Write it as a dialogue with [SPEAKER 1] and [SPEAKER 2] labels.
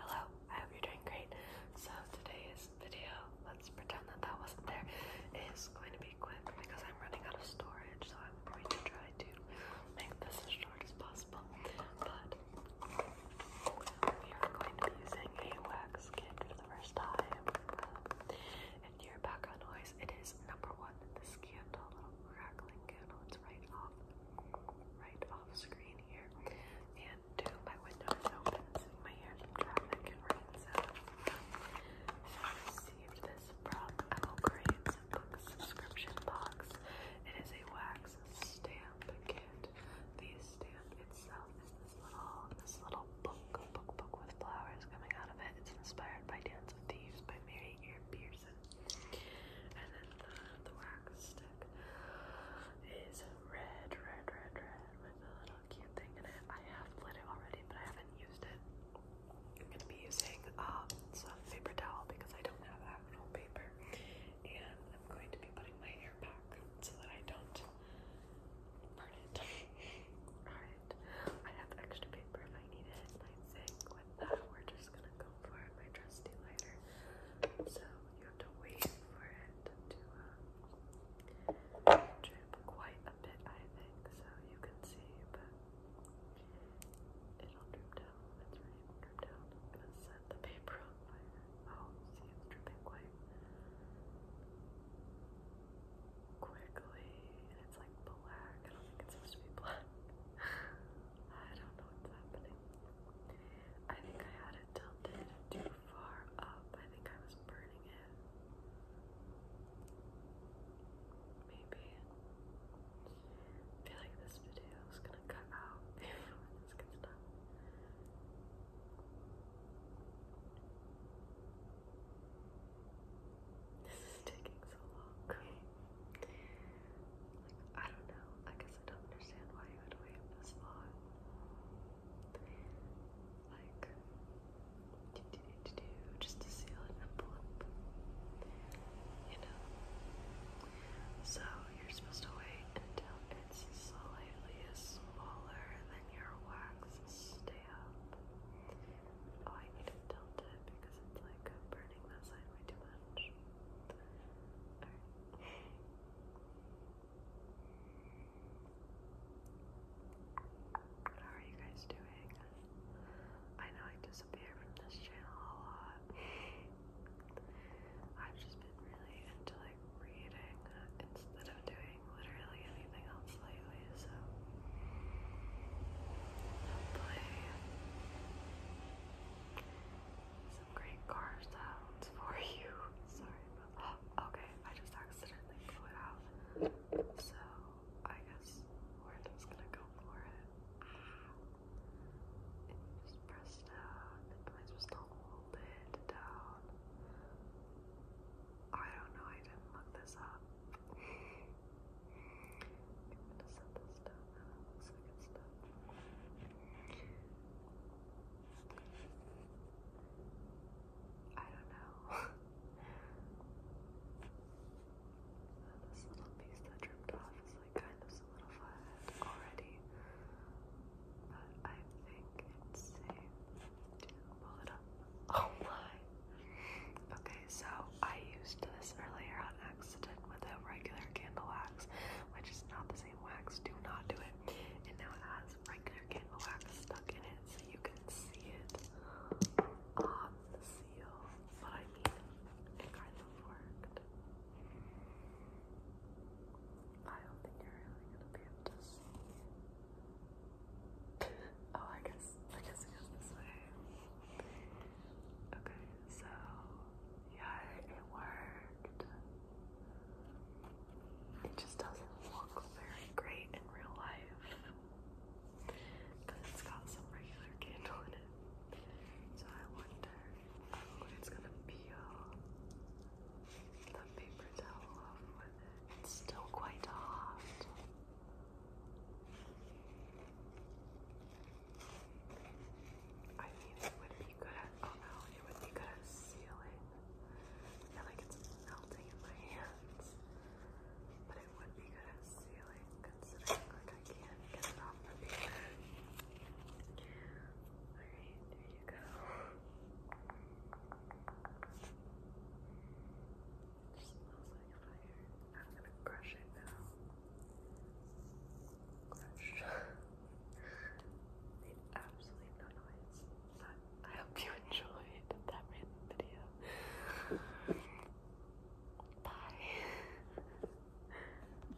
[SPEAKER 1] Hello, I hope you're doing great. So today's video, let's pretend that that wasn't there, is going to be quick because I'm running out of storage, so I'm going to try to make this as short as possible. But we are going to be using a wax kit for the first time. Um, and your background noise, it is number one, the candle, crackling candle that's right off, right off screen here. And two, my window is open, so you might hear some traffic rain sounds. I received this from Owl Crane's book subscription box. It is a wax stamp kit. The stamp itself is this little, this little book, book, book with flowers coming out of it. It's inspired by Dance of Thieves by Mary Earbeer. And then the, wax stick is red, red, red, red with a little cute thing in it. I have lit it already, but I haven't used it. I'm going to be using um, some paper towel because I don't have actual paper. And I'm going to be putting my hair back so that I don't burn it. Alright, I have extra paper if I need it. I think with that, we're just just gonna go for my trusty lighter. So you have to wait for it to uh, drip quite a bit, I think, so you can see, but it'll drip down. It's ready drip down. I'm set the paper on fire. Oh, see, it's dripping quite quickly, and it's black. I don't think it's supposed to be black. I don't know what's happening. I think I had it tilted too far up. I think I was burning it. Maybe. feel like this video is gonna cut out before this gets done. This is taking so long. Like, I don't know. I guess I don't understand why you would wait this long. Like, do, do, do, do, just to seal an envelope. You know? So, you're supposed to wait until it's slightly smaller than your wax stamp. Oh, I need to tilt it because it's like burning that side way too much. Alright. How are you guys doing? I know I disappear from this channel a lot. I've just been really into like reading instead of doing literally anything else lately, so hopefully some great car sounds for you. Sorry about okay, I just accidentally blew out. So I guess we gonna go for it. just press down, and I just hold down. I don't know, I didn't look this up. i don't know. this little piece that dripped off is like kind of solidified already but I think it's safe to pull it up. Oh my! Okay, so I used this earlier on accident with a regular candle wax, which is not the same wax. Do not do it. And now it has regular candle wax stuck in it, so you can see it on the seal. But I mean, it kind of worked. I don't think you're really gonna be able to see. oh, I guess, I guess it goes this way. Okay, so, yeah, it worked. It just doesn't look very great in real life. But it's got some regular candle in it. So I wonder how it's gonna peel the paper towel off with it. It's still quite hot. I mean, it would be good at, oh no, it would be good at sealing. I like it's melting in my hands. But it would be good at sealing, considering like I can't get it off the paper. Alright, there you go. smells like fire. I'm gonna crush it now. Crush. Made absolutely no noise. I hope you enjoyed that random video. Bye.